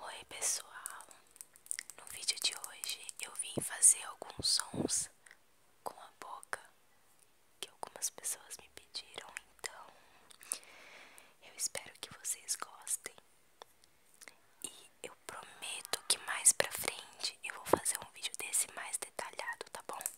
Oi pessoal, no vídeo de hoje eu vim fazer alguns sons com a boca que algumas pessoas me pediram, então eu espero que vocês gostem. E eu prometo que mais pra frente eu vou fazer um vídeo desse mais detalhado, tá bom?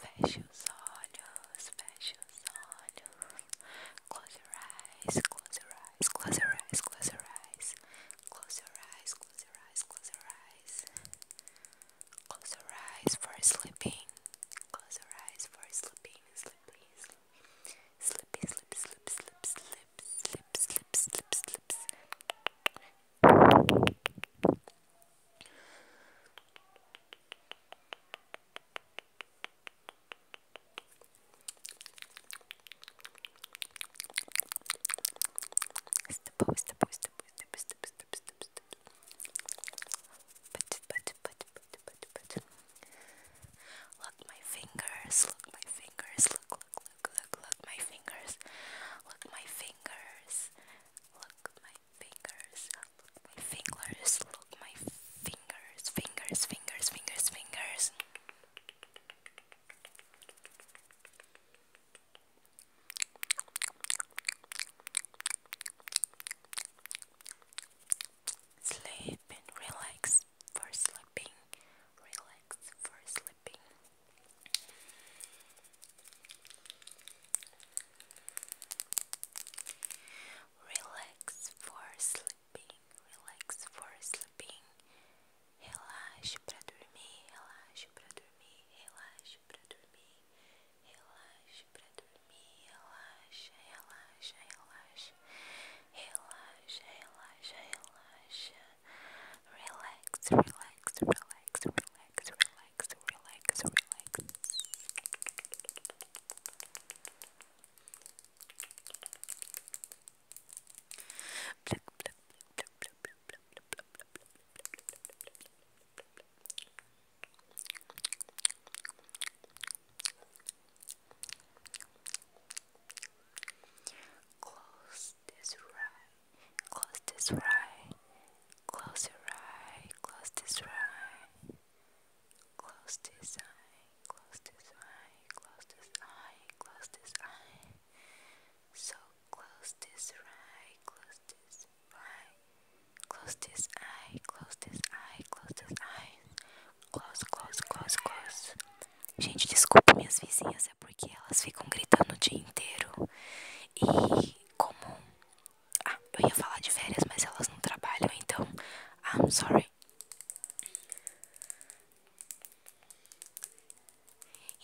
Feche os olhos, feche os olhos. Close your eyes, close your eyes, close your eyes, close your eyes. Close your eyes, close your eyes, close your eyes. Close your eyes for sleeping. Close your eyes for sleeping, sleeping, sleeping, sleep, sleep, sleep, sleep, sleep, sleep, sleep, sleep, sleep. Look my fingers, look my fingers, look, look, look, look, look my fingers, look my fingers. Look my fingers. Look my fingers. Look my fingers. Fingers, fingers, fingers, fingers. Sleep and relax for sleeping. Relax for sleeping. É relax for sleeping, relax for sleeping. Relaxe para dormir, relaxe para dormir, relaxe para dormir, relaxe para dormir, relaxa, relaxa, relaxa, relaxa, relaxa, relaxa. relax, relax, relax, relax, relax, relax, relax. Close this right Close this right. Close your eye. Close this right. Close this eye. Close this eye. Close this eye. Close this eye. So close this right. Close this right. Close this eye. Close this eye. Close this eye. Close, close, close, close. Gente, desculpa minhas vizinhas coisa, porque elas ficam gritando o dia inteiro. E como. Ah, eu ia falar de férias, mas elas não trabalham, então. I'm sorry.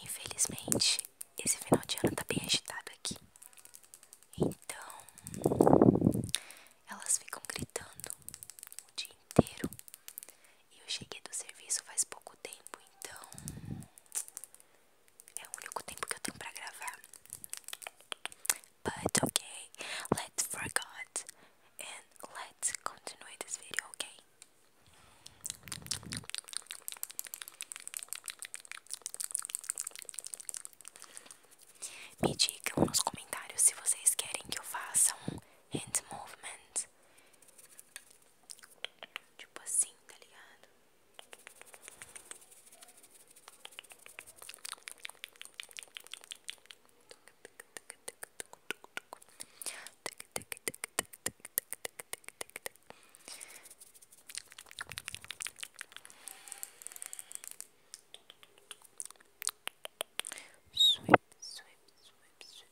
Infelizmente, esse final de ano tá bem agitado aqui. Então, elas ficam gritando o dia inteiro. E eu cheguei do serviço faz pouco tempo, então é o único tempo que eu tenho pra gravar. But okay, let's forget and let's continue this video, okay? Me digam nos comentários se vocês querem que eu faça um hand movement Tipo assim, tá ligado? Sweep, sweep, sweep, sweep,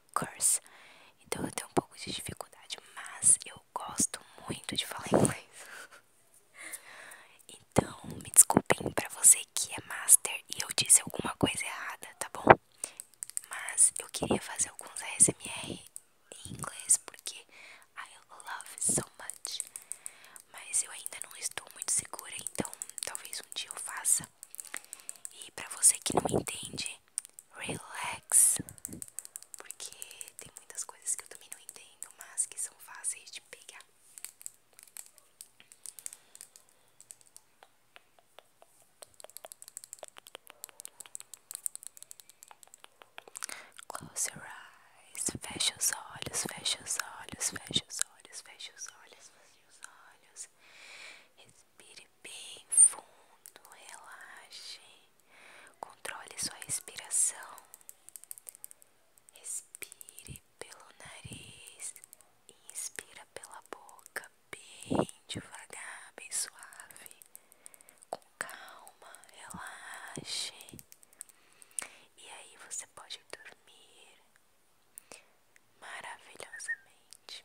curse. Então eu tenho um pouco de dificuldade, mas eu gosto muito de falar inglês. Então, me desculpem pra você que é master e eu disse alguma coisa errada, tá bom? Mas eu queria fazer alguns ASMR em inglês porque I love it so much. Mas eu ainda não estou muito segura, então talvez um dia eu faça. E pra você que não entende, relax, porque tem muitas coisas que eu também não entendo, mas que são fáceis de pegar. Close your eyes, fecha os olhos, fecha os olhos, fecha os olhos, fecha os olhos, fecha os olhos. Respire bem fundo, relaxe, controle sua respiração, respire pelo nariz, inspire pela boca, bem devagar, bem suave, com calma, relaxe, e aí você pode dormir maravilhosamente.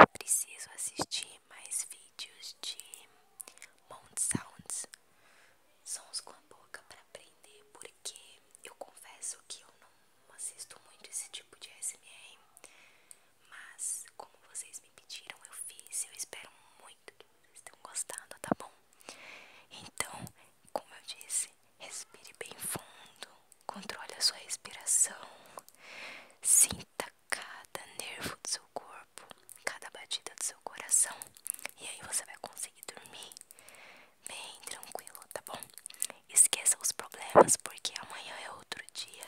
Eu preciso assistir mais vídeos de Mount Sounds, sons com a boca para aprender, porque eu confesso que eu não assisto muito esse tipo de SMR, mas como vocês me pediram, eu fiz. Eu espero muito muito que vocês tenham gostado, tá bom? Então, como eu disse, respire bem fundo, controle a sua respiração, sinta cada nervo do seu corpo, cada batida do seu coração, e aí você vai conseguir dormir bem tranquilo, tá bom? Esqueça os problemas, porque amanhã é outro dia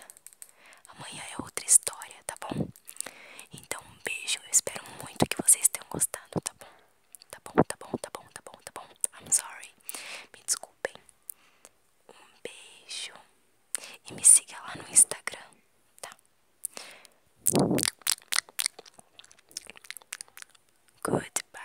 Amanhã é outra história, tá bom? Então, um beijo. Eu espero muito que vocês tenham gostado, tá bom? Tá bom, tá bom, tá bom, tá bom, tá bom. I'm sorry. Me desculpem. Um beijo. E me siga lá no Instagram, tá? Goodbye.